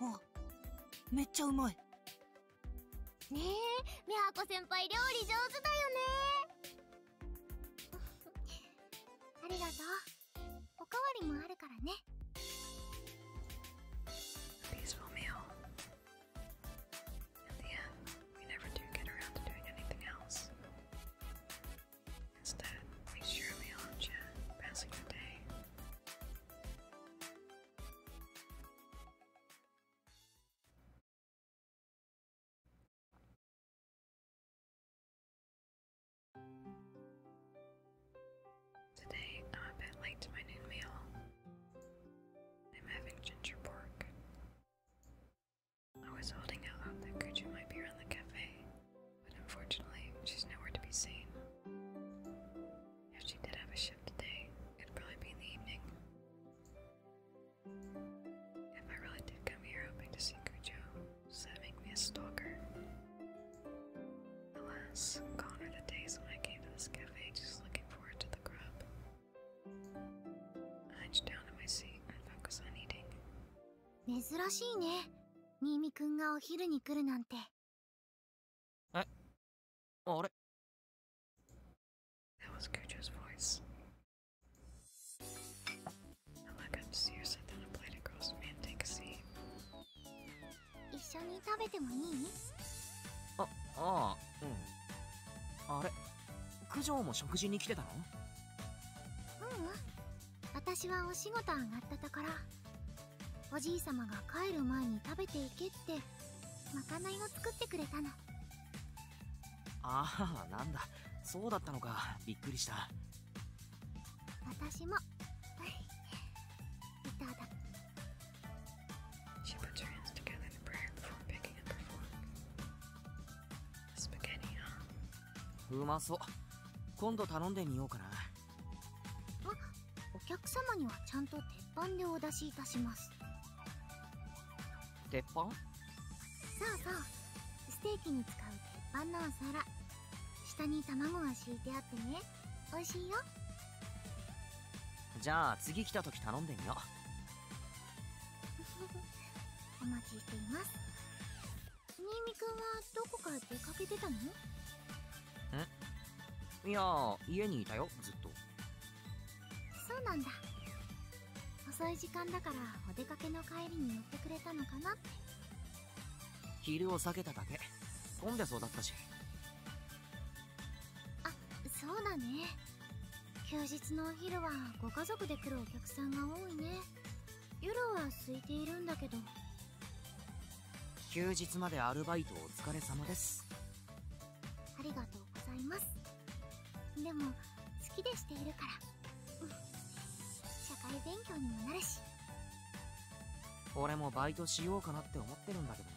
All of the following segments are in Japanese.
あめっちゃうまいねえ美穂子先輩料理上手だよね ありがとうおかわりもあるからね Today I'm a bit late to my noon meal. I'm having ginger pork. I was holding out hope that Gucci might be around the cafe, but unfortunately, she's nowhere to be seen. If she did have a shift today, it'd probably be in the evening. If I really did come here hoping to see Cujo, does that make me a stalker? Alas, gone are the days when I came to this cafe just looking forward to the grub. I hunched down in my seat and focused on eating. 珍しいね。新見くんがお昼に来るなんて。えあれ That was Gujo's voice. I look up to see her sit down and play the girls man take a seat. 一緒に食べてもいいあ、ああ、うん。あれ九条も食事に来てたのうん、私はお仕事上がったところ。おじい様が帰る前に食べていけってまかないを作ってくれたのああなんだそうだったのかびっくりした私も いただうまそう。今度頼んでみようかな。あお客様にはちゃんと鉄板でお出しいたします鉄板そうそうステーキに使う鉄板のお皿下に卵が敷いてあってね美味しいよじゃあ次来た時頼んでみよう お待ちしています新見くんはどこかへ出かけてたのえいや家にいたよずっとそうなんだ遅い時間だからお出かけの帰りに寄ってくれたのかなって昼を避けただけ混んでそうだったしあそうだね休日のお昼はご家族で来るお客さんが多いね夜は空いているんだけど休日までアルバイトお疲れ様ですありがとうございますでも好きでしているから社会勉強にもなるし俺もバイトしようかなって思ってるんだけど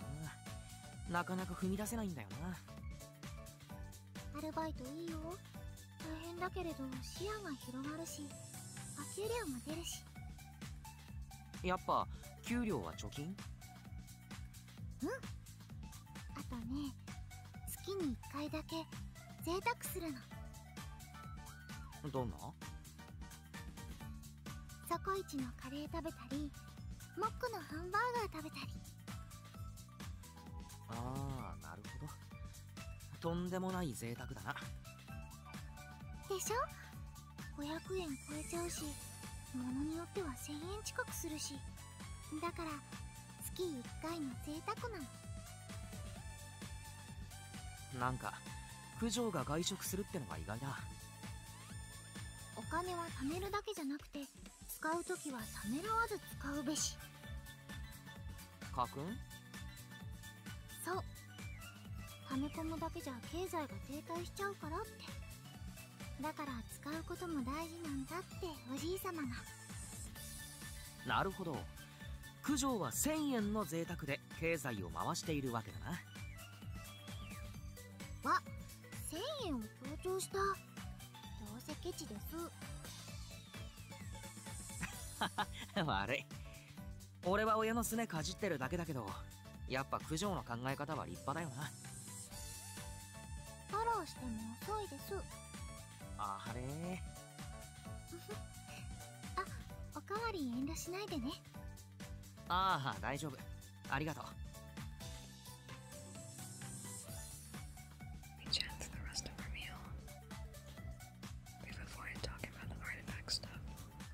ななかなか踏み出せないんだよなアルバイトいいよ大変だけれど視野が広がるしお給料も出るしやっぱ給料は貯金うんあとね月に1回だけ贅沢するのどんなそこいちのカレー食べたりモックのハンバーガー食べたりああなるほどとんでもない贅沢だなでしょ500円超えちゃうし物によっては1000円近くするしだから月1回の贅沢なのなんか九条が外食するってのが意外だお金は貯めるだけじゃなくて使う時はためらわず使うべし家訓そうフめミむだけじゃ経済が停滞しちゃうからってだから使うことも大事なんだっておじい様がなるほど九条は1000円の贅沢で経済を回しているわけだなわ1000円を強調したどうせケチです 悪い俺は親のすねかじってるだけだけどやっぱ九条の考え方は立派だよなあ おかわり遠慮しないでねああ大丈夫ありがとう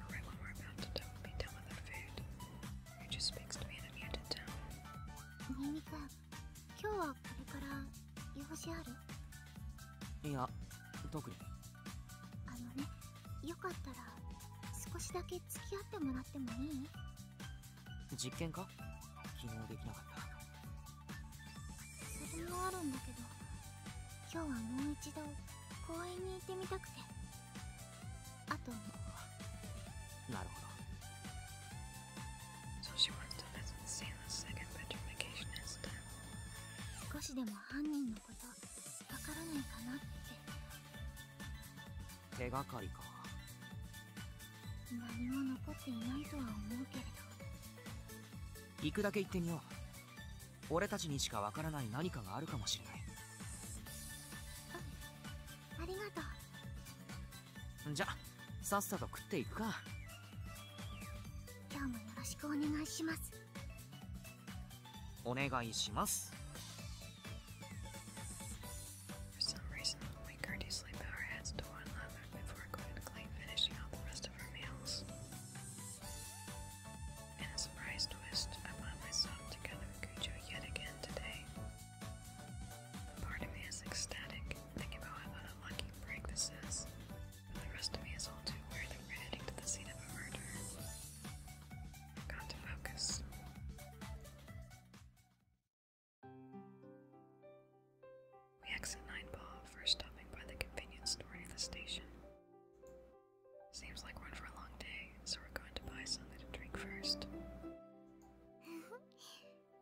Really warm out, don't be d o n みみくん、今日はこれから用事あるいや、特に。あのね、よかったら少しだけ付き合ってもらってもいい実験か昨日できなかったそれもあるんだけど今日はもう一度公園に行ってみたくてあとなるほど少しでも犯人のことわからないかなって手がかりか何も残っていないとは思うけれど行くだけ行ってみよう俺たちにしかわからない何かがあるかもしれないありがとうじゃさっさと食っていくか今日もよろしくお願いしますお願いします In a surprise twist, I am found myself together with Cujo yet again today. Part of me is ecstatic, thinking about what an unlucky break this is. And the rest of me is all too aware that we're heading to the scene of a murder. I've got to focus. We exit Nine Ball, first stopping by the convenience store near the station. Seems like we're in for a long day, so we're going to buy something to drink first.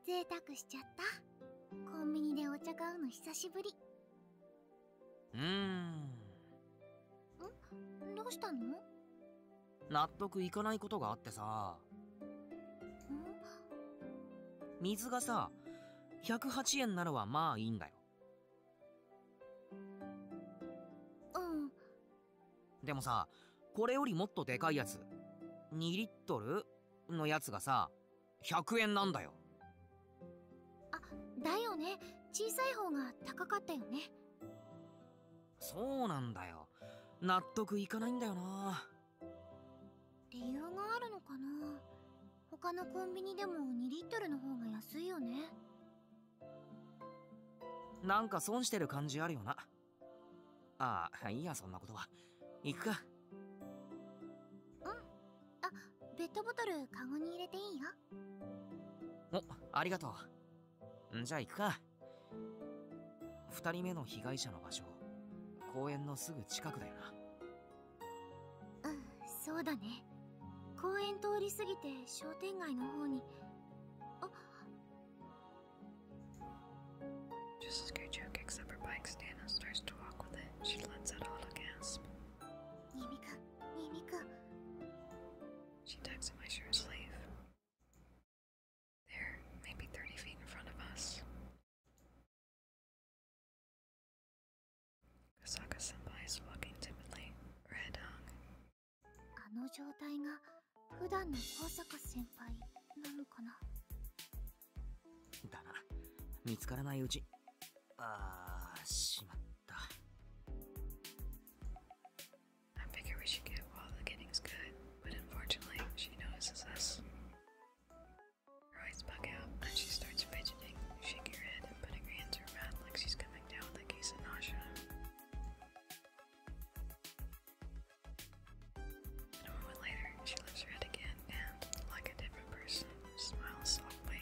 贅沢しちゃった。コンビニでお茶買うの久しぶり。うーん。んどうしたの納得いかないことがあってさ。水がさ、108円ならはまあいいんだよ。うんでもさこれよりもっとでかいやつ2リットルのやつがさ100円なんだよあだよね小さい方が高かったよねそうなんだよ納得いかないんだよな理由があるのかな他のコンビニでも2リットルの方が安いよねなんか損してる感じあるよな。ああ、いいや、そんなことは。行くか。うん。あ、ペットボトル、カゴに入れていいよ。お、ありがとう。じゃあ行くか。2人目の被害者の場所、公園のすぐ近くだよな。うん、そうだね。公園通り過ぎて商店街の方にあ Just as Gojo kicks her bike stand starts to walk with it, she lets out a little gasp. Nimika, Nimika. She tugs at my shirt sleeve. There, maybe 30 feet in front of us. Kasaka senpai is walking timidly, her head あの状態が普段の香坂先輩なのかなだな見つからないうちああしまった I figure we should get while the getting's good but unfortunately she notices us her eyes bug out and she starts fidgeting shaking her head and putting her hands to her mouth like she's coming down with a case of nausea A moment later, she lifts her head again and, like a different person, smiles softly.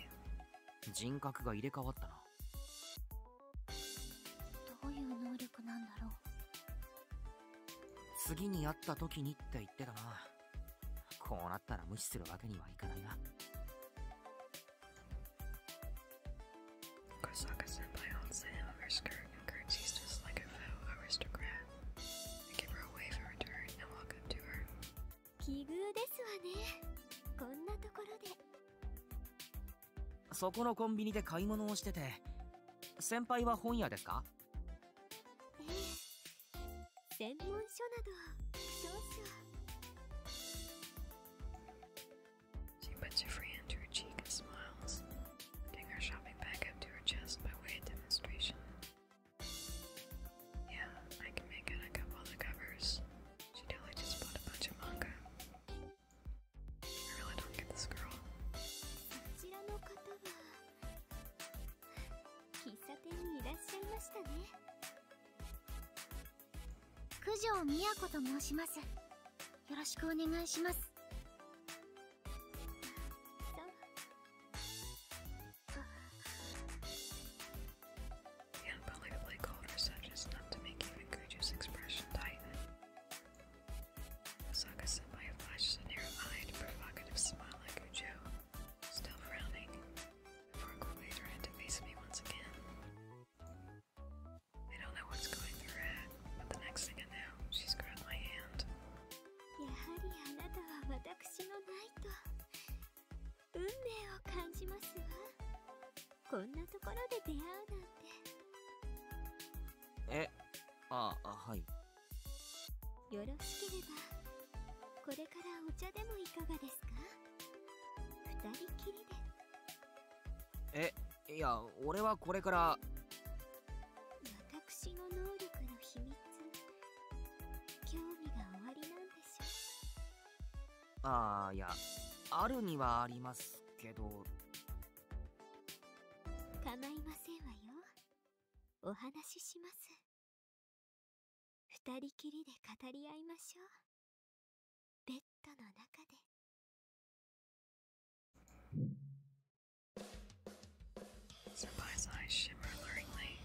人格が入れ替わったな。どういう能力なんだろう。次に会った時にって言ってたな。こうなったら無視するわけにはいかないな。Kosaka senpai holds the hem of her skirt and curtsies just like a fellow aristocrat. I give her a wave in return and walk up to her. 奇遇ですわね。こんなところで。そこのコンビニで買い物をしてて、先輩は本屋ですかええ。専門書など、少々。She puts her free hand to her cheek and smiles, putting her shopping bag up to her chest by way of demonstration. Yeah, I can make out a couple of covers. She totally just bought a bunch of manga. I really don't get this girl. よろしくお願いします。The unbelievably cold reception is enough to make even Guju's expression tighten. Osaka Senpai flashes a narrow-eyed, provocative smile at Guju, still frowning, before quickly turning to face me once again. I don't know what's going through her head, but the next thing I know, she's grabbed my hand. やはりあなたは私のナイト。運命を感じますわ。こんなところで出会うなんて。え、ああ、はい。よろしければ、これからお茶でもいかがですか二人きりで。えいや俺はこれから私の能力の秘密興味がおありなんでしょうああいやあるにはありますけど構いませんわよお話しします2人きりで語り合いましょうベッドの中で。Senpai's eyes shimmer alluringly.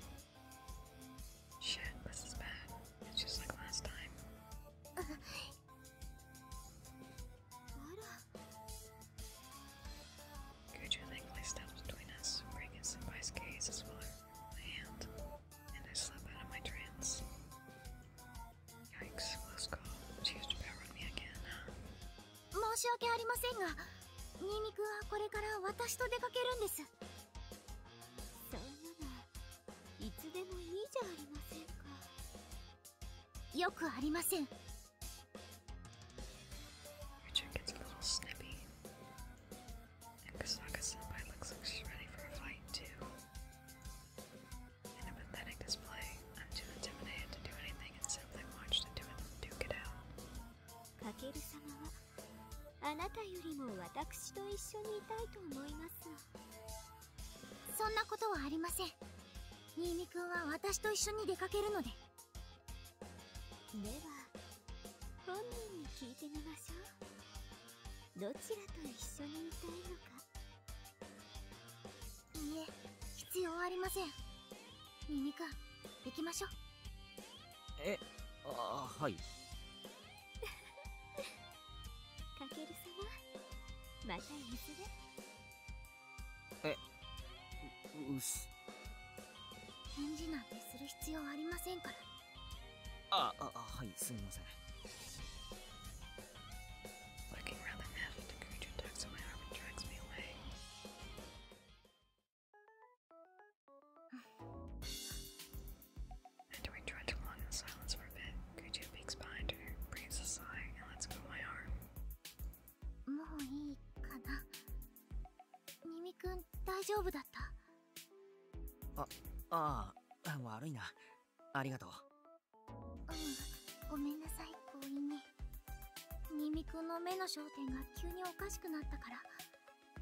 Shit, this is bad. It's just like last time. Guju uh, thankfully steps between us, breaking Senpai's gaze as well my hand, and I slip out of my trance. y 申し訳ありませんが、新見くんはこれから私と出かけるんです。そんなの、いつでもいいじゃありませんか。よくありません。In a pathetic display, I'm too intimidated to do anything and simply watched the two of them duke it out. タケル様はあなたよりも私と一緒にいたいと思いますがそんなことはありません新見くんは私と一緒に出かけるのででは本人に聞いてみましょうどちらと一緒にいたいのかいいえ必要ありませんミミ行きましょうえあはい かける様またいずれえううす返事なんてする必要ありませんからああはいすみません Looking rather half, the creature tugs my arm and drags me away. After we trudge along in silence for a bit, Kuju peeks behind her, breathes a sigh, and lets go of my arm. もういいかなニミ君大丈夫だったあああ悪いなありがとううんごめんなさい強引に新見くんの目の焦点が急におかしくなったか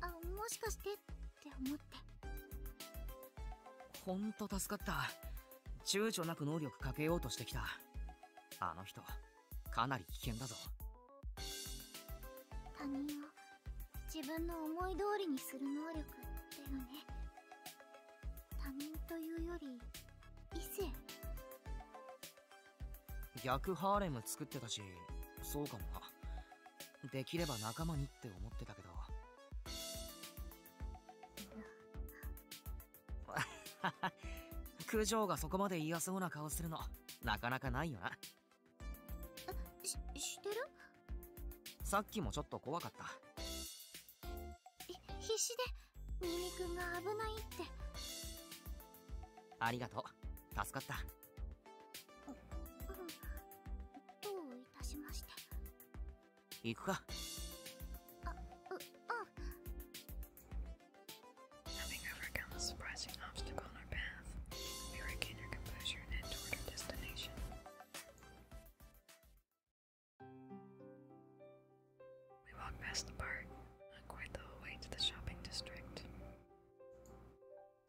らあもしかしてって思ってほんと助かった躊躇なく能力かけようとしてきたあの人かなり危険だぞ他人を自分の思い通りにする能力ってのね他人というより異性逆ハーレム作ってたしそうかもなできれば仲間にって思ってたけど九条がそこまで嫌そうな顔するのなかなかないよなししてるさっきもちょっと怖かった必死でミミくんが危ないってありがとう助かったううんどういたしまして行くかあううん Nothing ever comes surprising obstacle on our path Hurricane your composure and end toward our destination We walk past the park, not quite the whole way to the shopping district.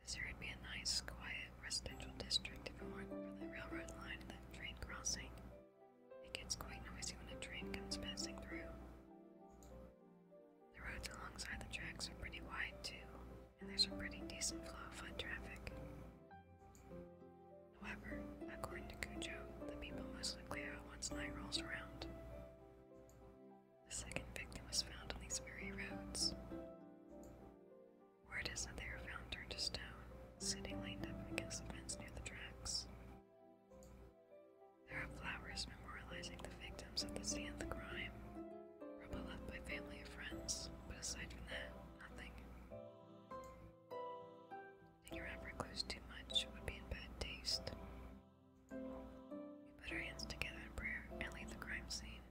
This here would be a nice, quiet residential district if it weren't for the railroad line and the train crossing. It gets quite noisy when a train comes passing through. The roads alongside the tracks are pretty wide, too, and there's a pretty decent flow of foot traffic. However, according to Cujo, the people most likely out once night rolls around. The second victim was found on these very roads. Where it is that they were found turned to stone, sitting lined up against the fence near the tracks. There are flowers memorializing the victims of the scene crime, rubble left by family and friends, but aside from that, nothing being around Recluse too much would be in bad taste. We put our hands together in prayer and leave the crime scene.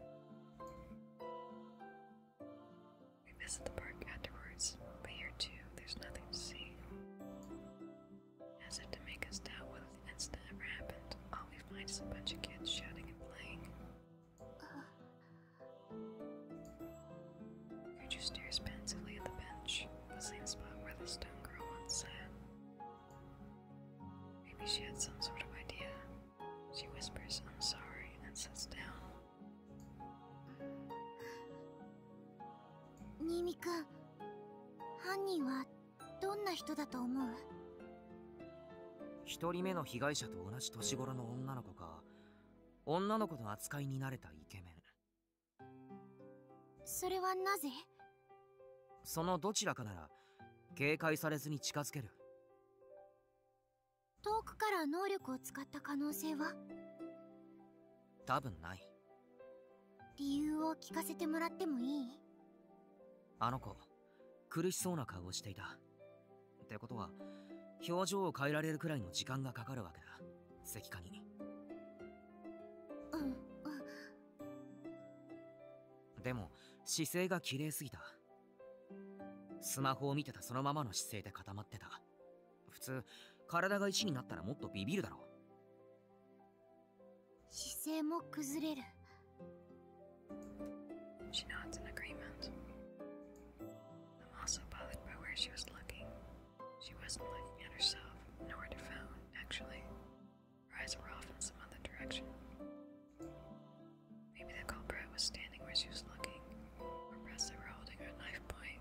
We visit the park afterwards, but here too, there's nothing to see. As if to make us doubt whether the incident ever happened, all oh, we find is a bunch of kids shouting and playing. Uh, Gertrude stares pensively at the bench, the same spot where the stone girl once sat. Maybe she had some sort of idea. She whispers, I'm sorry, and sits down. 新見くん犯人はどんな人だと思う一人目の被害者と同じ年頃の女の子か女の子の扱いに慣れたイケメンそれはなぜそのどちらかなら警戒されずに近づける遠くから能力を使った可能性は多分ない理由を聞かせてもらってもいいあの子苦しそうな顔をしていたってことは表情を変えられるくらいの時間がかかるわけだ石化にでも姿勢が綺麗すぎたスマホを見てたそのままの姿勢で固まってた普通体が石になったらもっとビビるだろ姿勢も崩れる She nods in a She wasn't looking at herself, nor to be found, actually. Her eyes were off in some other direction. Maybe the culprit was standing where she was looking, Her breasts were holding her knife point,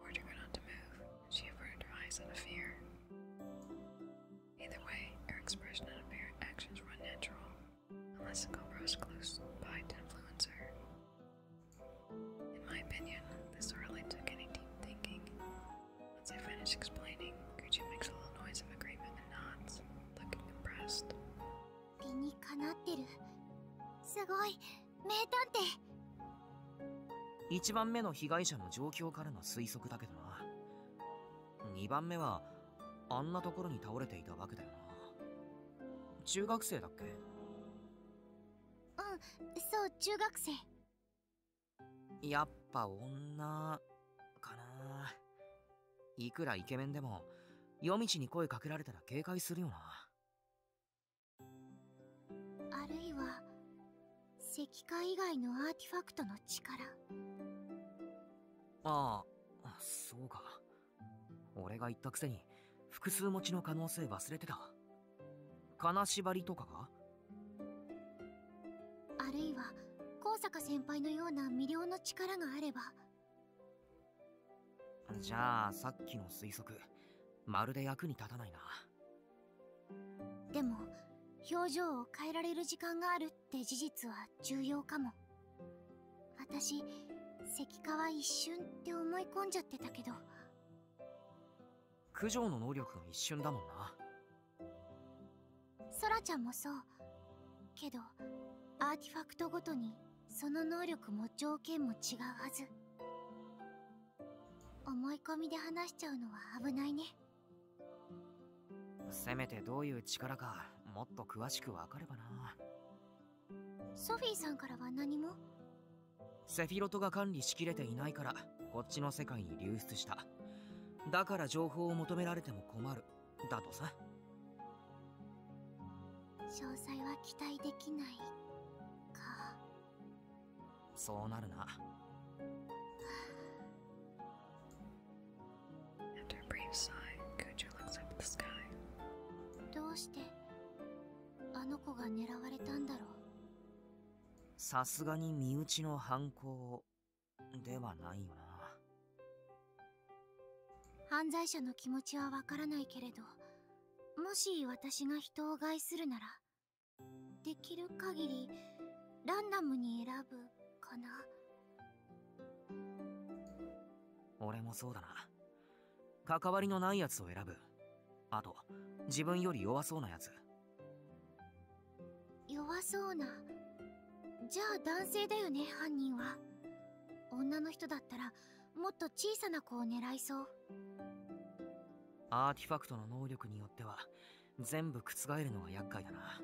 ordering her not to move, she averted her eyes out of fear. Either way, her expression and apparent actions were unnatural, unless the culprit was close by to influence her. In my opinion, this hardly took any deep thinking. Once I finished explaining, Gucci makes a little noise of agreement and nods, looking impressed. 理にかなってるすごい名探偵1番目の被害者の状況からの推測だけどな2番目はあんなところに倒れていたわけだよな中学生だっけうんそう中学生やっぱ女かないくらイケメンでも夜道に声かけられたら警戒するよなあるいは石化以外のアーティファクトの力ああそうか俺が言ったくせに複数持ちの可能性忘れてた金縛りとかかあるいは高坂先輩のような魅了の力があればじゃあさっきの推測まるで役に立たないなでも表情を変えられる時間があるって事実は重要かも私石化は一瞬って思い込んじゃってたけど九条の能力が一瞬だもんなソラちゃんもそうけどアーティファクトごとにその能力も条件も違うはず思い込みで話しちゃうのは危ないねせめてどういう力かもっと詳しくわかればなソフィーさんからは何もセフィロトが管理しきれていないからこっちの世界に流出しただから情報を求められても困るだとさ詳細は期待できないかそうなるなどうしてあの子が狙われたんだろうさすがに身内の犯行ではないよな犯罪者の気持ちはわからないけれどもし私が人を害するならできる限りランダムに選ぶかな俺もそうだな関わりのないやつを選ぶあと自分より弱そうなやつ弱そうなじゃあ男性だよね犯人は女の人だったらもっと小さな子を狙いそうアーティファクトの能力によっては全部覆るのは厄介だな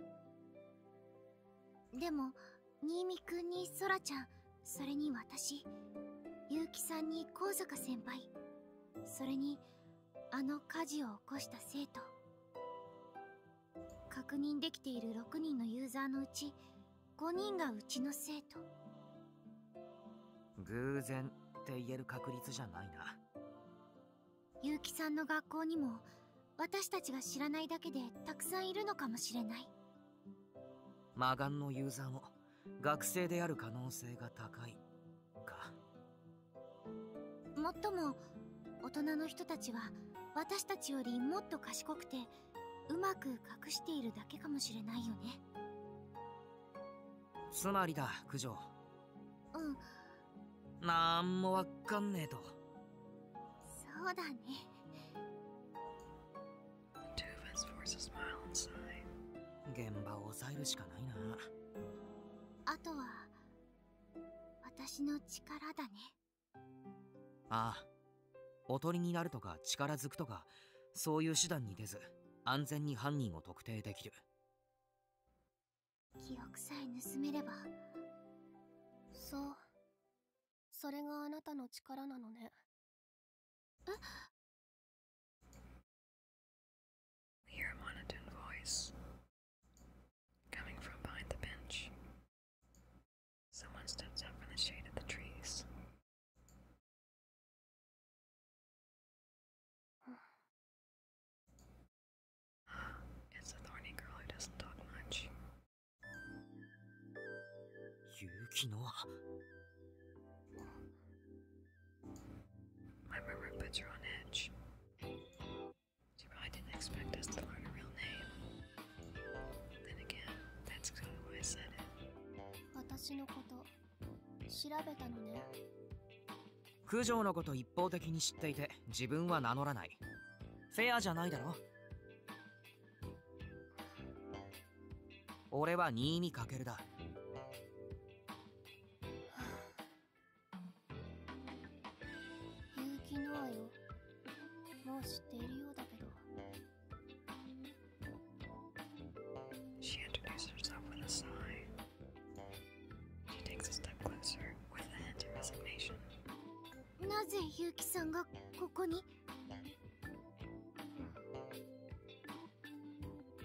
でも新ミくんにソラちゃんそれに私結城さんに香坂先輩それにあの火事を起こした生徒確認できている6人のユーザーのうち5人がうちの生徒偶然って言える確率じゃないな結城さんの学校にも私たちが知らないだけでたくさんいるのかもしれない魔眼のユーザーも学生である可能性が高いかもっとも大人の人たちは私たちよりもっと賢くてうまく隠しているだけかもしれないよねつまりだ九条うんなんもわかんねえとそうだね The two of us forced a smile and sigh. 現場を抑えるしかないなあとは私の力だねああおとりになるとか力づくとかそういう手段に出ず安全に犯人を特定できる記憶さえ盗めればそうそれがあなたの力なのね We hear a monotone voice coming from behind the bench. Someone steps out from the shade of the trees. It's a thorny girl who doesn't talk much. Yuki no. My memory bits are on edge. She probably didn't expect us to learn her real name. Then again, that's exactly why I said it. 私のこと調べたのね。九条のこと一方的に知っていて自分は名乗らないフェアじゃないだろ俺は新見かけるだ結城ノアよもう知っているようだけど She introduced herself with a sigh. She takes a step closer with a hint of resignation. なぜ結城さんがここに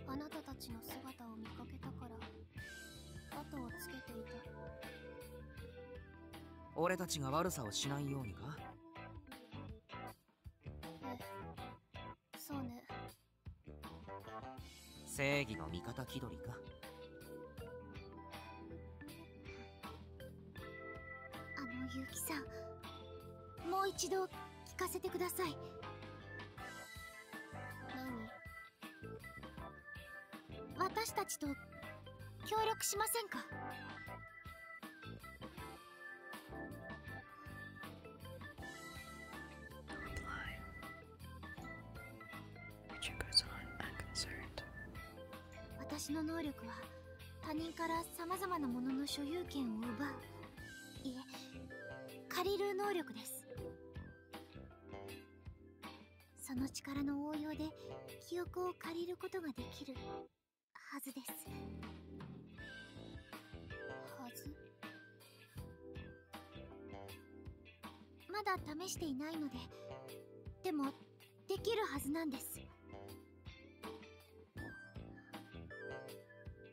あなたたちの姿を見かけたから後をつけていた俺たちが悪さをしないようにかえそうね正義の味方気取りかあの結城さんもう一度聞かせてください私たちと協力しませんか私の能力は他人からさまなものの所有権を奪ういえ借りる能力ですその力の応用で記憶を借りることができるはずですはずまだ試していないのででもできるはずなんです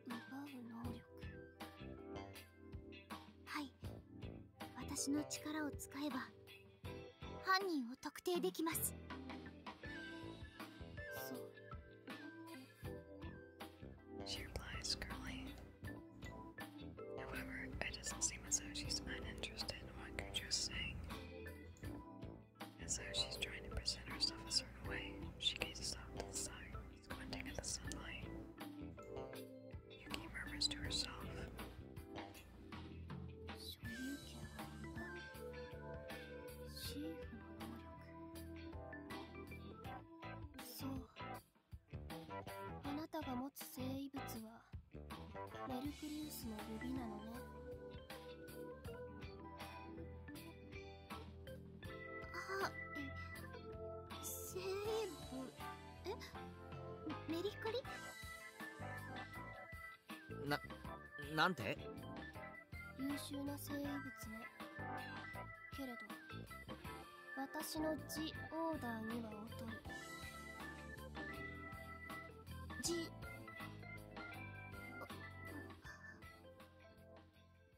奪う能力おくはい私の力を使えば犯人を特定できますそう She replies, girly. However, it doesn't seem as though she's uninterested in what Guju's saying. As though she's trying to present herself a certain way, she gazes off to the side. She's squinting at the sunlight. Yuki murmurs to herself. So, あなたが持つ生物はメルクリウスの指なのね。あセレ物えメリカリななんて優秀な生物ねけれど私のジオーダーには劣るジ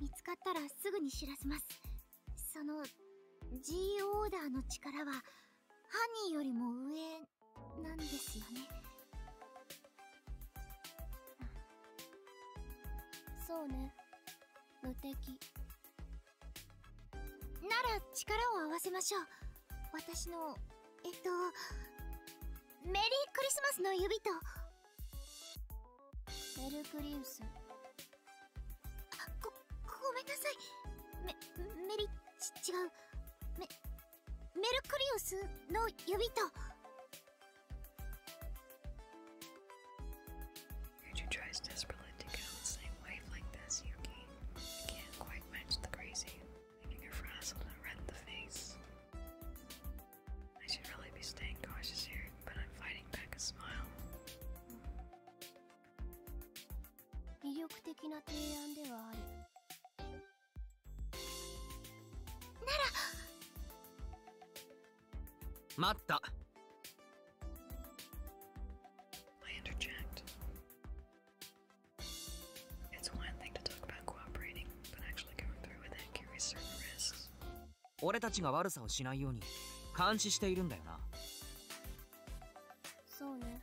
見つかったらすぐに知らせますその G オーダーの力は犯人よりも上なんですよねそうね無敵なら力を合わせましょう私のえっとメリークリスマスの指とベルクリウスあごごめんなさいメメリち違うメメルクリウスの指と Future tries desperately to get on the same wave like this, Yuki. You can't quite match the crazy. Leaving her frazzled and red in the face. I should really be staying cautious here, but I'm fighting back a smile. 魅力的な提案ではあるなら待った I interject. It's one thing to talk about cooperating, but actually going through with it carries certain risks. 俺たちが悪さをしないように監視しているんだよなそうね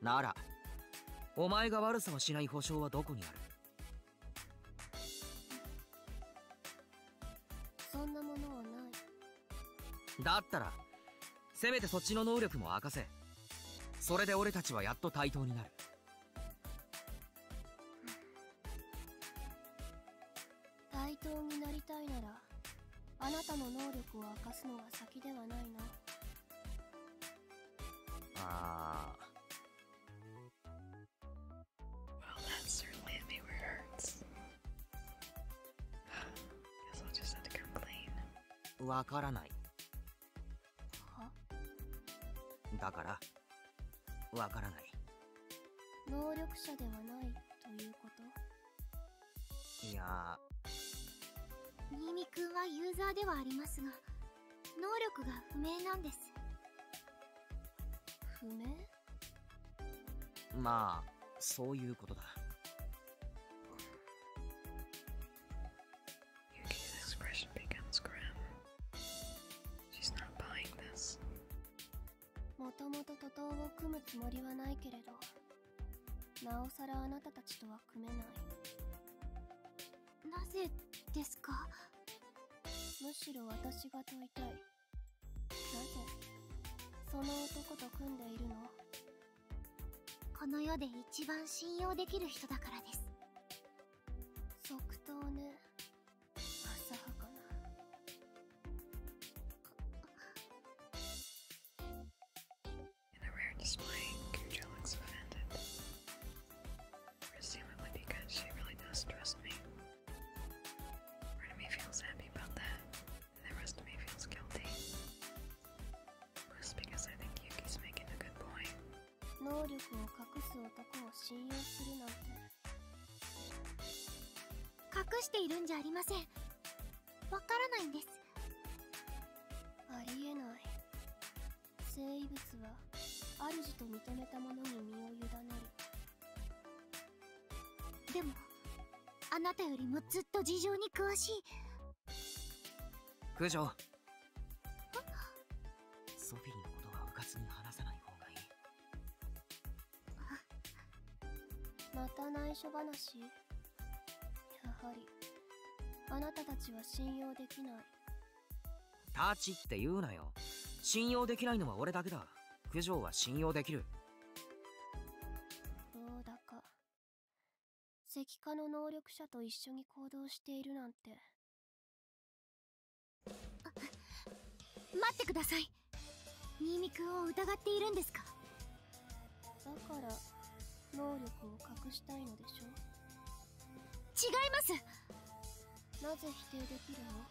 ならお前が悪さをしない保証はどこにあるそんなものはないだったらせめてそっちの能力も明かせそれで俺たちはやっと対等になる対等になりたいならあなたの能力を明かすのが先ではないなああ certainly a viewer hurts. Guess I'll just have to complain. わからない。はだから、わからない能力者ではないということいや新見くんはユーザーではありますが能力が不明なんです不明まあそういうことだもともと徒党を組むつもりはないけれど、なおさらあなたたちとは組めない。なぜですかむしろ私が問いたい。なぜその男と組んでいるのこの世で一番信用できる人だからです。即答ね。In a rare display, Cujo looks offended. Presumably because she really does trust me. Part of me feels happy about that, and the rest of me feels guilty. Just because I think Yuki's making a good point. 隠しているんじゃありませんわからないんですありえない生物は主と認めたものに身を委ねるでもあなたよりもずっと事情に詳しい九条ソフィーのことはうかつに話さない方がいい また内緒話やはりあなたたちは信用できないタチって言うなよ信用できないのは俺だけだ九条は信用できるどうだか石化の能力者と一緒に行動しているなんて待ってください新見君を疑っているんですかだから能力を隠したいのでしょ違いますなぜ否定できるの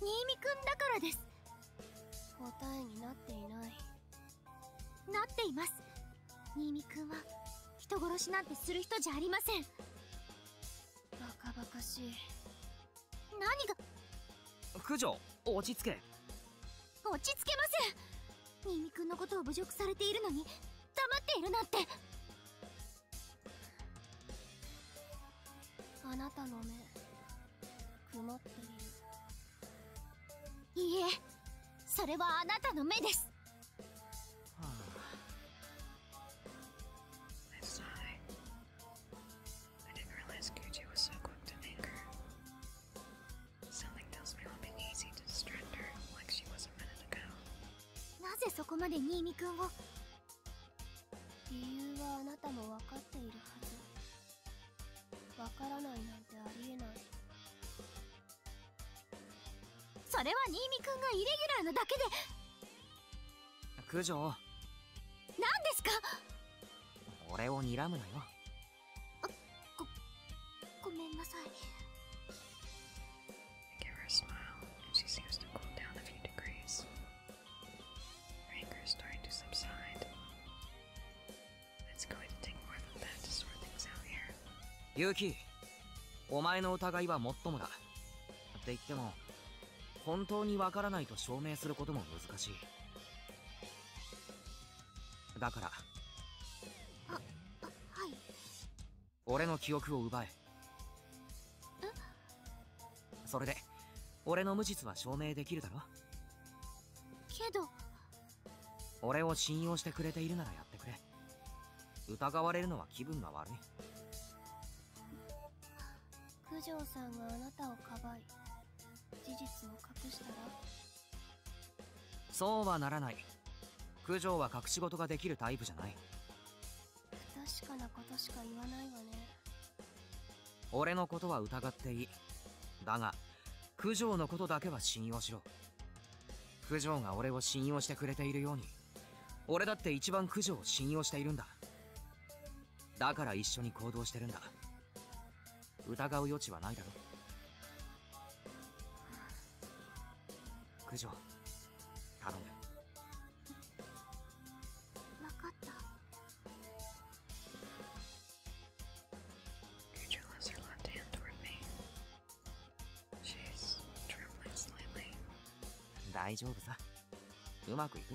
新見君だからです答えになっていないなっています新見君は人殺しなんてする人じゃありませんバカバカしい何が九条落ち着け落ち着けません新ミくのことを侮辱されているのに黙っているなんてあなたの目曇っているいいえそれはあなたの目です、はあ I didn't realize Gucci was so quick to make her. Something tells me it'll be easy to distract her like she was a minute ago. なぜそこまで新見くんを理由はあなたも分かっているはず。分からないなんてありえない。それは新見くんがイレギュラーなだけで九条何ですか俺を睨むなよあごごめんなさい Give her a smile, and she seems to cool down a few degrees. Her anger is starting to subside. It's going to take more than that to sort things out here. Yuki, お前の疑いはもっともだ。って言っても、本当に分からないと証明することも難しいだからはい俺の記憶を奪えそれで俺の無実は証明できるだろけど俺を信用してくれているならやってくれ疑われるのは気分が悪い九条さんがあなたをかばい事実を隠したらそうはならない九条は隠し事ができるタイプじゃない不確かなことしか言わないわね俺のことは疑っていいだが九条のことだけは信用しろ九条が俺を信用してくれているように俺だって一番駆除を信用しているんだだから一緒に行動してるんだ疑う余地はないだろ駆除頼む分かった大丈夫さうまくいく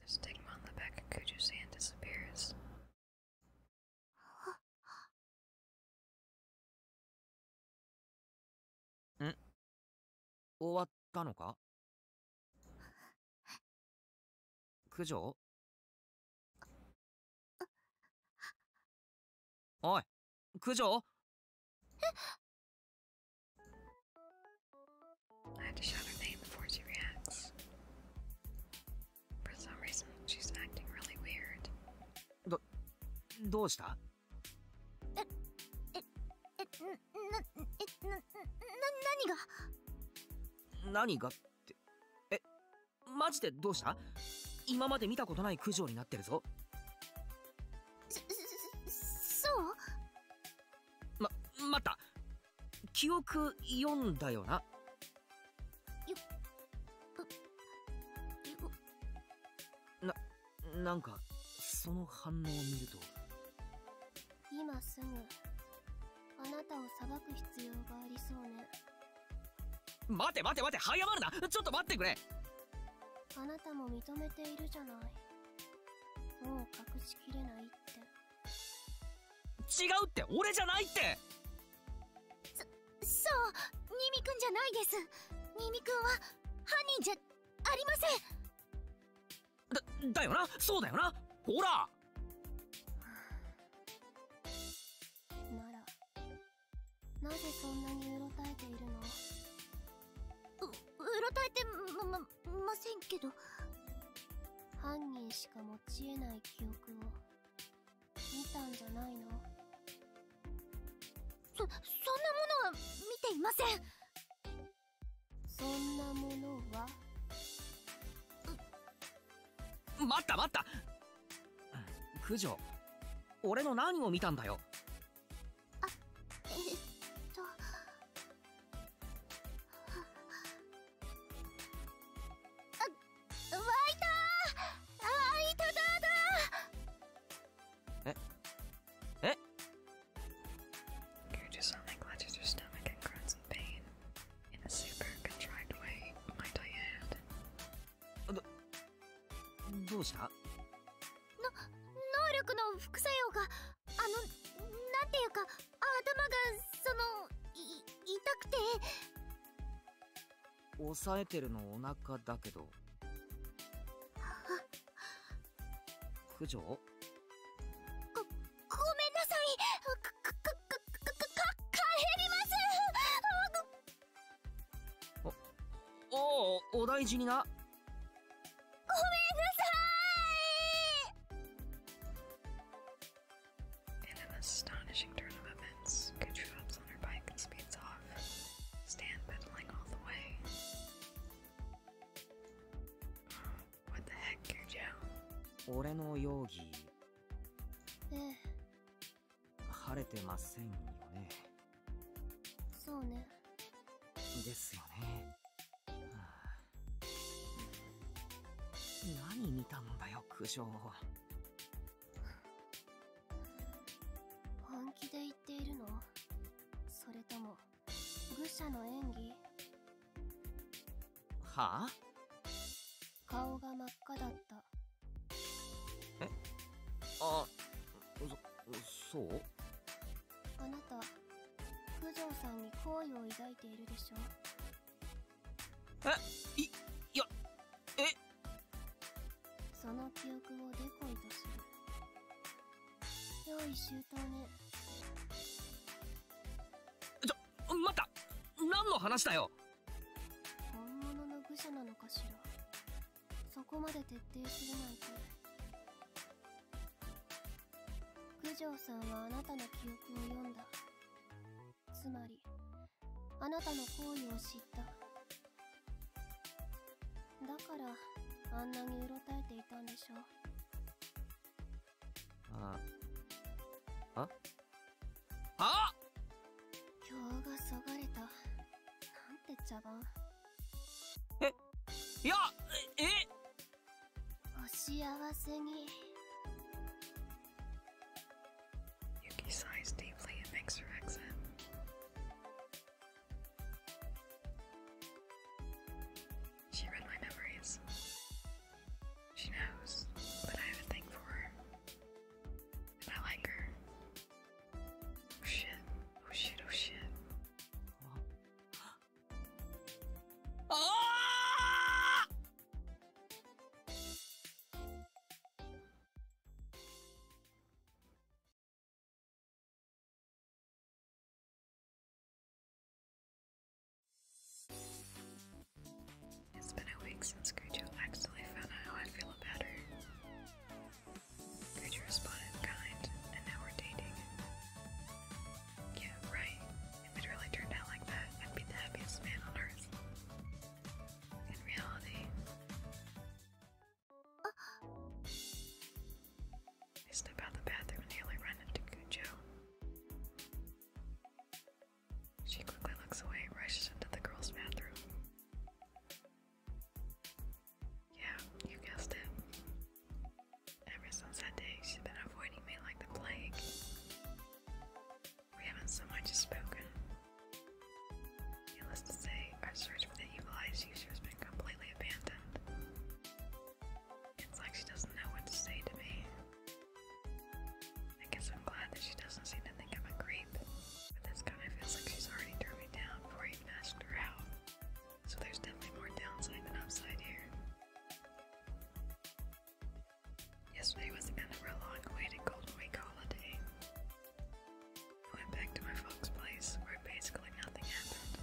The stigma on the back of Kuju's hand disappears. ん終わったのか九条おい九条えっ I had to shout her name before she reacts. For some reason, she's acting really weird. ど、どうしたえ、え、え、な、え、な、な、何が何がって、え、マジでどうした今まで見たことない九条になってるぞそうま待た記憶読んだよなななんかその反応を見ると今すぐあなたを裁く必要がありそうね待て待て待て早まるなちょっと待ってくれあなたも認めているじゃないもう隠しきれないって違うって俺じゃないってそそう新ミくんじゃないです新ミくんは犯人じゃありませんだだよなそうだよなほらならなぜそんなにうろたえているのううろたえてままませんけど犯人しか持ちえない記憶を見たんじゃないのそそんなものは見ていませんそんなものは待った待った九条俺の何を見たんだよあえっとあ湧いたあいただだええ y どうしたの能力の副作用があの何ていうか頭がその痛くて抑えてるのお腹だけど九条ごごめんなさいかかかかか帰りますお、おお大事にな。ごめんなさい In an astonishing turn of events, Gucci hops on her bike and speeds off, Stan pedaling all the way. What the heck, Gucci? 俺の容疑。ええ。晴れてませんよねそうねですよね、はあ、何見たんだよ苦情本気で言っているのそれとも愚者の演技はあ顔が真っ赤だったえあそそうあなた九条さんに好意を抱いているでしょえいいやえその記憶をデコイとする用意周到ねちょ待った何の話だよ本物の愚者なのかしらそこまで徹底するなんて。九条さんはあなたの記憶を読んだつまりあなたの行為を知っただからあんなにうろたえていたんでしょうああああ票がそがれたなんて茶番えいやえお幸せに Yuki sighs deeply and makes her exit. She read my memories. She knows that I have a thing for her. And I like her. Oh shit, oh shit, oh shit. Ah! It's been a week since Gujo actually found out how I feel about her. Creature responded kind, and now we're dating. Yeah, right. If it really turned out like that, I'd be the happiest man on earth. In reality. I step out the bathroom and nearly run into Cujo. She quickly looks away, rushes into the girls' bathroom. Yeah, you guessed it. Ever since that day, she's been avoiding me like the plague. We haven't so much as spoken. Needless to say, our search for the evil user has been completely abandoned. It's like she doesn't know what to say to me. I guess I'm glad that she doesn't seem to think I'm a creep. I even Yesterday was the end of our long-awaited Golden Week holiday. I went back to my folks' place where basically nothing happened.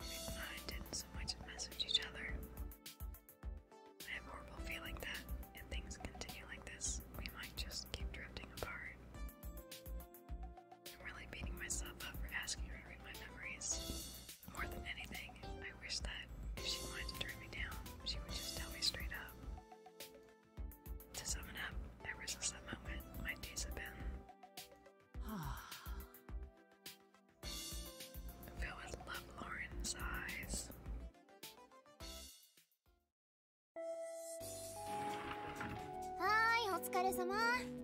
We didn't so much as message each other. I have a horrible feeling that if things continue like this, we might just keep drifting apart. I'm really beating myself up for asking her to read my memories. More than anything, I wish that if she wanted to turn me down, she would just tell me straight up. To sum it up, ever since that moment, my days have been filled with love Lauren's eyes. はいお疲れ様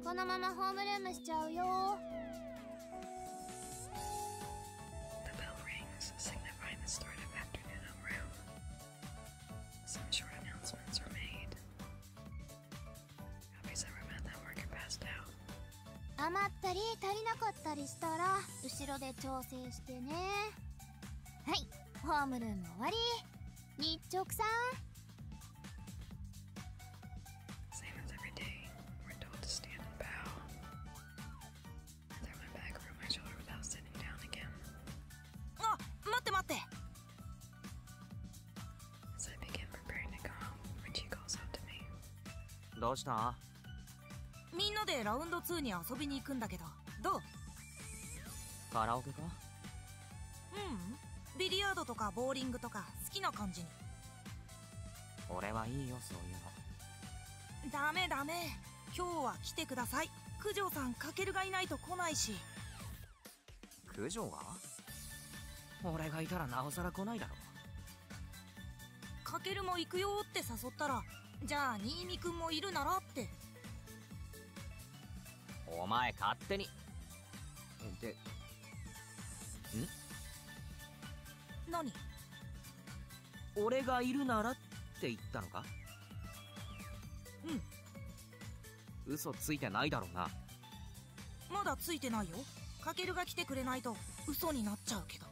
このままホームルームしちゃうよ余ったり足りなかったりしたら後ろで調整してねはいホームルーム終わり日直さんどうしたみんなでラウンド2に遊びに行くんだけどどうカラオケかうんビリヤードとかボーリングとか好きな感じに俺はいいよそういうのダメダメ今日は来てください九条さんかけるがいないと来ないし九条が俺がいたらなおさら来ないだろかけるも行くよって誘ったらじゃあ新見君もいるならってお前勝手に。で、ん何俺がいるならって言ったのかうん。嘘ついてないだろうな。まだついてないよ。かけるが来てくれないと嘘になっちゃうけど。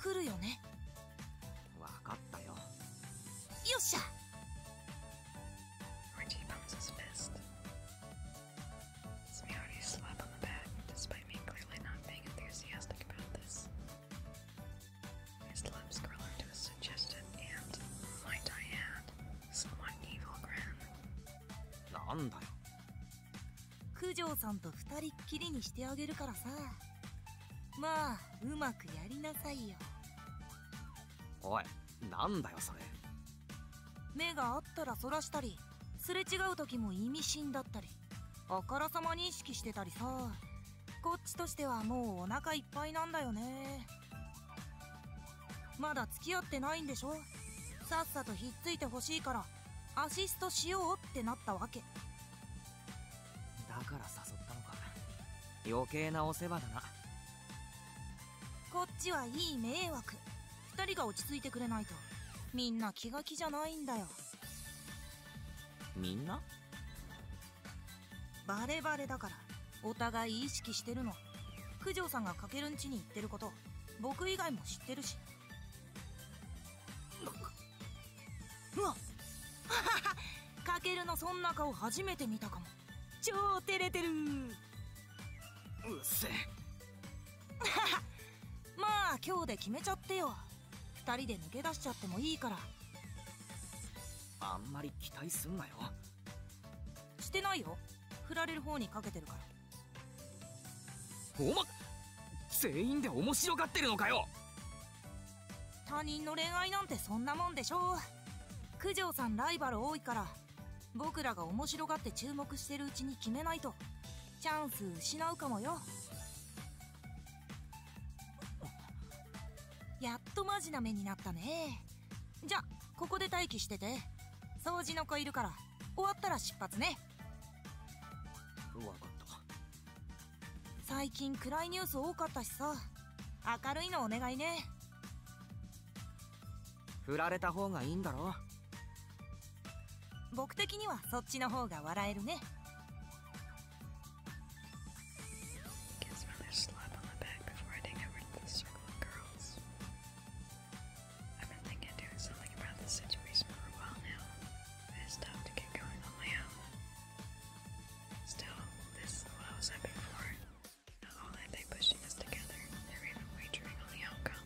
来るよね。わかったよよっしゃ九条さんと二人っきりにしてあげるからさまあうまくやりなさいよおい何だよそれ目が合ったらそらしたりすれ違う時も意味深だったりあからさまに意識してたりさこっちとしてはもうお腹いっぱいなんだよねまだ付き合ってないんでしょさっさとひっついてほしいからアシストしようってなったわけだから誘ったのか余計なお世話だなこっちはいい迷惑2人が落ち着いてくれないとみんな気が気じゃないんだよみんなバレバレだからお互い意識してるの九条さんがかけるんちに行ってること僕以外も知ってるしうわ かけるのそんな顔初めて見たかも超照れてるうっせ まあ今日で決めちゃってよ2人で抜け出しちゃってもいいからあんまり期待すんなよしてないよ振られる方にかけてるからおま全員で面白がってるのかよ他人の恋愛なんてそんなもんでしょう。九条さんライバル多いから僕らが面白がって注目してるうちに決めないとチャンス失うかもよやっとマジな目になったねじゃここで待機してて掃除の子いるから終わったら出発ね分かった最近暗いニュース多かったしさ明るいのお願いね振られた方がいいんだろ僕的にはそっちの方が笑えるね Still, this is what I was hoping for. Not are they pushing us together, they're even wagering on the outcome.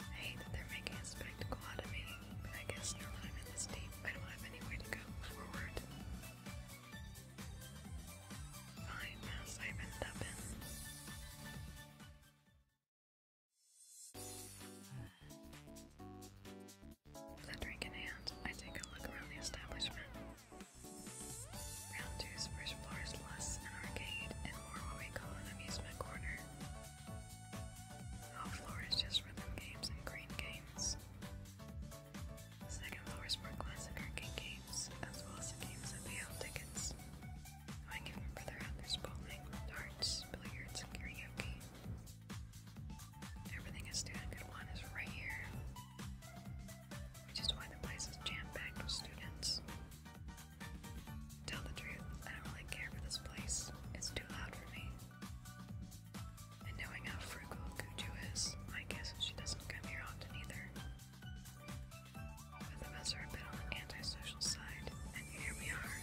I hate that they're making a spectacle out of me, but I guess now that I'm in this deep, I don't have anywhere to go forward. Fine mess I've ended up in. With drink in hand, I take a look around the establishment. Round two's first floor is plus an arcade and more what we call an amusement corner. All floors just rhythm games and green games. second floor is more classic arcade games, as well as the games that pay tickets. I Going even further out, there's bowling, darts, billiards, and karaoke. Everything a student could want is right here, which is why the place is jam packed with students. Tell the truth, I don't really care for this place, it's too loud for me. And knowing how frugal Guju is, my guess is she doesn't come here often either. Both of us are a on the antisocial side, and here we are,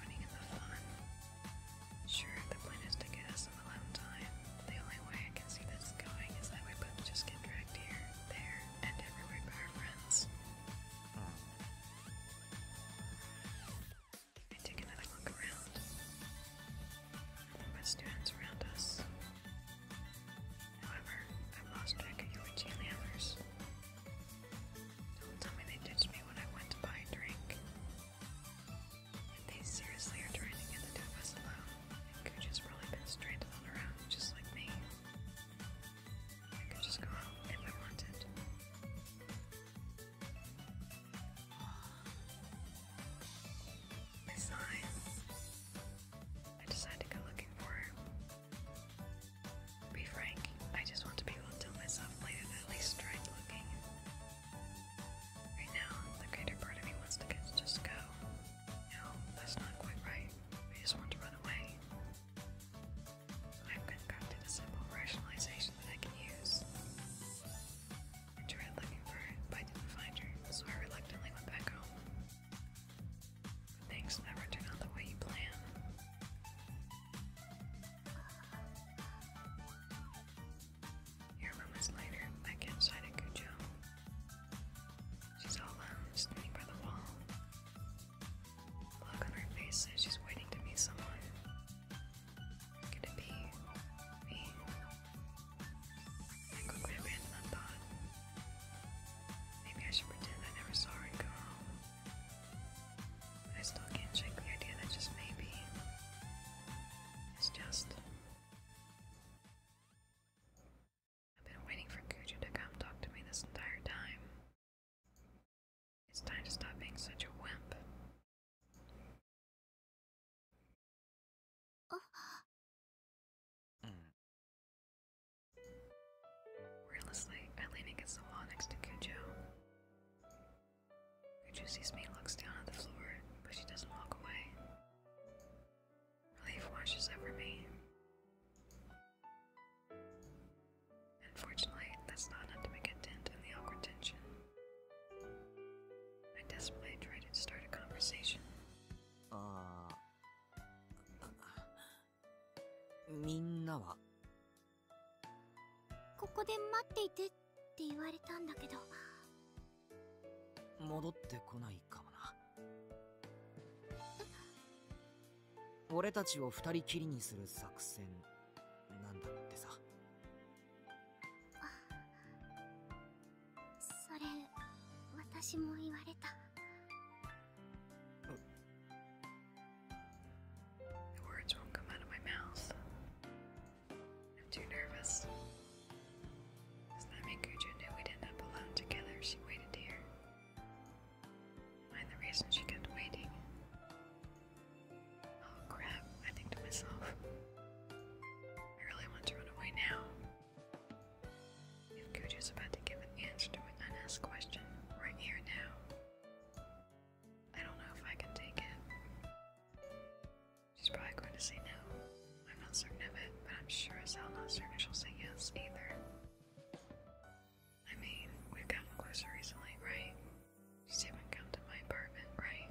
joining in the fun. Sure, the plan is to get us some alone time. The only way I can see this going is that we both just get dragged here, there, and everywhere by our friends. I take another look around. Nothing students around us. However, i lost track of you and the others. Don't tell me they ditched me when I went to buy a drink they seriously are trying to get the two of us alone. Gucci's really been stranded on her own, just like me. I could just go out if I wanted. I I decide to go looking for her. be frank, I just want to be able to tell myself later that at least tried looking. Right now, the greater part of me wants to just go. No, that's not quite right. I just want to run away. i concocted a simple rationalization that I can use. I tried looking for it, but didn't find her, so I reluctantly went back home. things never turn out the way you plan. Your room is lighter. Back inside at Cujo. She's all alone, standing by the wall. look on her face says she's waiting to meet someone. Could it be me? I quickly abandoned that thought. Maybe I should pretend I never saw her go home. I still can't shake the idea that just maybe. It's just I've been waiting for Kuju to come talk to me this entire time. It's time to stop being such a wimp. Mm. Relentlessly, I lean against the wall next to Cujo. Who sees me looks down at the floor, but she doesn't walk away. Relief washes over me. Unfortunately, that's not enough to make a dent in the awkward tension. I desperately try to start a conversation. Uh, って言われたんだけど戻ってこないかもな俺たちを二人きりにする作戦なんだってさそれ私も言われた I'm too nervous. Slamming Guja knew we'd end up alone together, she waited here. Mind the reason she kept waiting. Oh crap, I think to myself. I really want to run away now. If Guja's about to give an answer to an unasked question, right here now. I don't know if I can take it. She's probably going to say no. I'm not certain of it, but I'm sure as hell not certain she'll say yes either. I mean, we've gotten closer recently, right? She's even come to my apartment, right?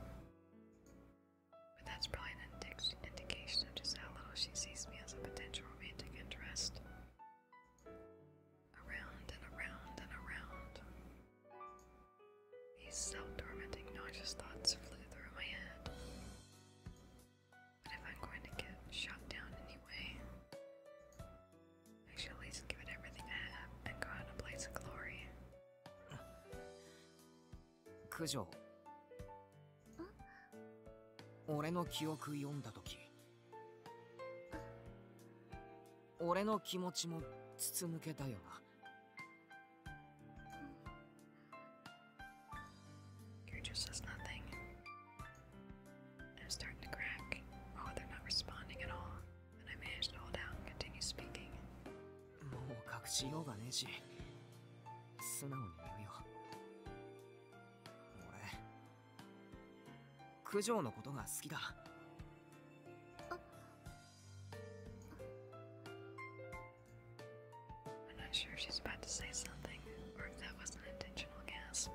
But that's probably an indication of just how little she sees me as a potential romantic interest. Around and around and around. These self-tormenting, nauseous thoughts flew through my head. But if I'm going to get shot down anyway, I should at least give it everything I have and go out in a place of glory. 九条俺の記憶読んだ時俺の気持ちも筒抜けだよな Gertrude says nothing. I'm starting to crack. Oh, they're not responding at all. And I managed to hold out and continue speaking. もう隠しようがねえし素直に言うよ俺九条のことが好きだ I'm not sure if she's about to say something, or if that was not an intentional gasp.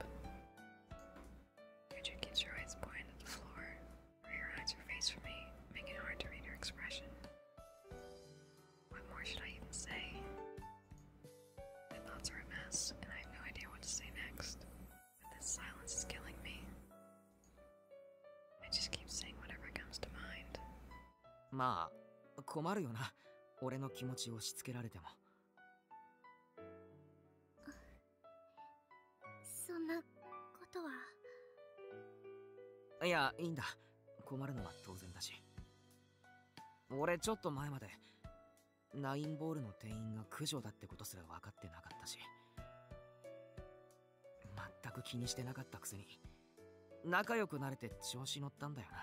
Richard keeps her eyes pointed at the floor, where her hides her face from me, making it hard to read her expression. What more should I even say? My thoughts are a mess, and I have no idea what to say next. But this silence is killing me. I just keep saying whatever comes to mind. まあ、困るよな。俺の気持ちを押し付けられても。そんなことは。いや、いいんだ。困るのは当然だし。俺ちょっと前まで、ナインボールの店員が駆除だってことすら分かってなかったし。全く気にしてなかったくせに仲良くなれて調子乗ったんだよな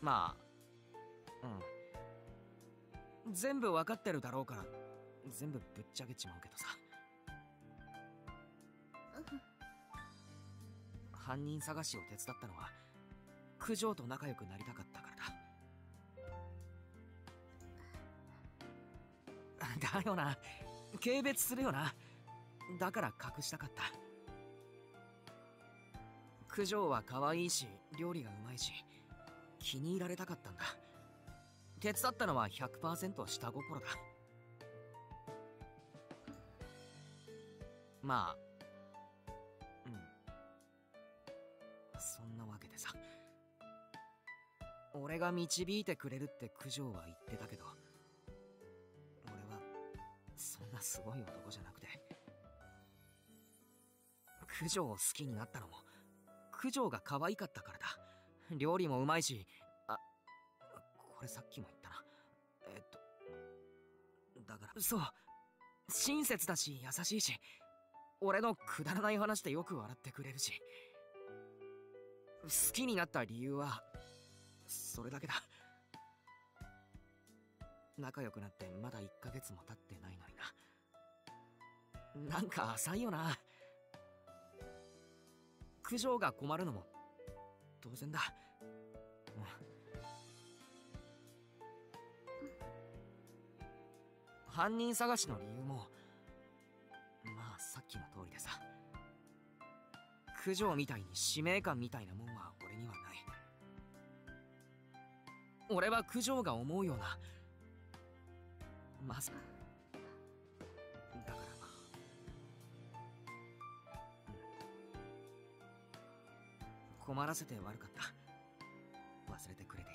まうん全部分かってるだろうから全部ぶっちゃけちまうけどさ、犯人探しを手伝ったのは九条と仲良くなりたかったからだだよな軽蔑するよなだから隠したかった九条は可愛いし料理がうまいし気に入られたかったんだ手伝ったのは100%下心だまあうんそんなわけでさ俺が導いてくれるって九条は言ってたけど俺はそんなすごい男じゃなくて九条を好きになったのも九条が可愛かったからだ料理もうまいしあこれさっきも言ったなえっとだからそう親切だし優しいし俺のくだらない話でよく笑ってくれるし好きになった理由はそれだけだ仲良くなってまだ1か月もたってないのにな何か浅いよな苦情が困るのも当然だ、うん、犯人捜しの理由もまあさっきの通りでさ九条みたいに使命感みたいなもんは俺にはない俺は九条が思うようなまさだから困らせて悪かった忘れてくれていい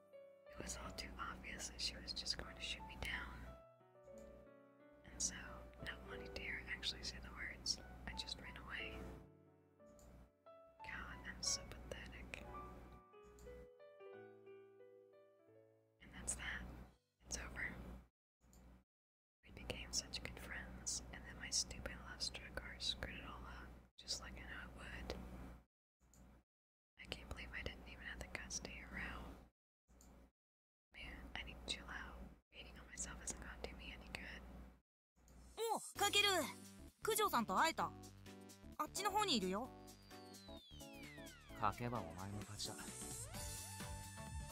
It was all too obvious that she was just going to shoot me down. And so, not wanting to hear actually say the words, I just ran away. God, I'm so pathetic. And that's that. It's over. We became such good friends, and then my stupid love struck heart screwed it all up, just like I know it would. I can't believe I didn't even have the guts to hear out. Man, I need to chill out. Hating on myself hasn't gone to me any good. おう、かける九条さんと会えた。あっちの方にいるよ。かけばお前の勝ちだ。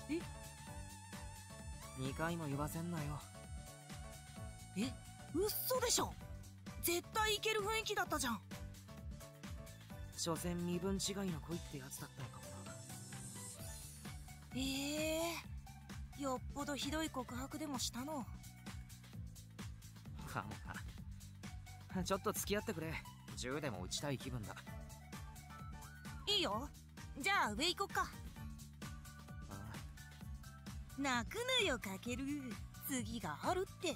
え2回も言わせんなよえ嘘でしょ絶対いける雰囲気だったじゃん所詮身分違いの恋ってやつだったのかなええよっぽどひどい告白でもしたのかもなちょっと付き合ってくれ銃でも撃ちたい気分だいいよじゃあ上行こっか泣くなよかける次があるって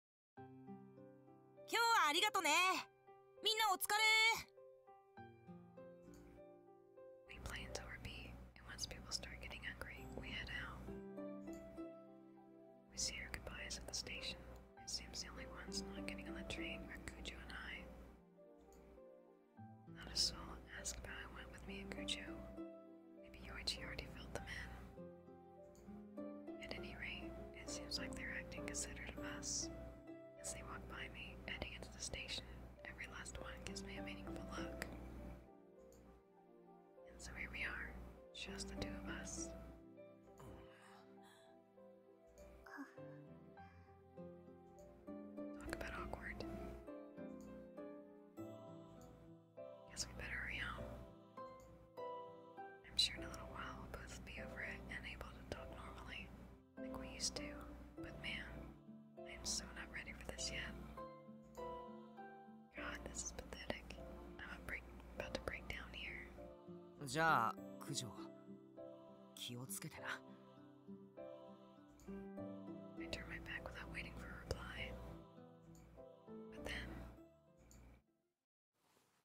今日はありがとね。みんなお疲れ。He plans over me, and once people start getting hungry, we head out. We say our goodbyes at the station. It seems the only ones not getting on the train are Cujo and I. Not a soul asked about who went with me and Cujo. Maybe Yoichi already filled them in. At any rate, it seems like they're acting considerate of us. As they walk by me, heading into the station, every last one gives me a meaningful look. And so here we are, just the two of us. Talk about awkward. Guess we better hurry home. I'm sure in a little while we'll both be over it and able to talk normally, like we used to. But man, I am so not ready for this yet. God, this is pathetic. I'm about to break down here. じゃあ、九条、気をつけてな。I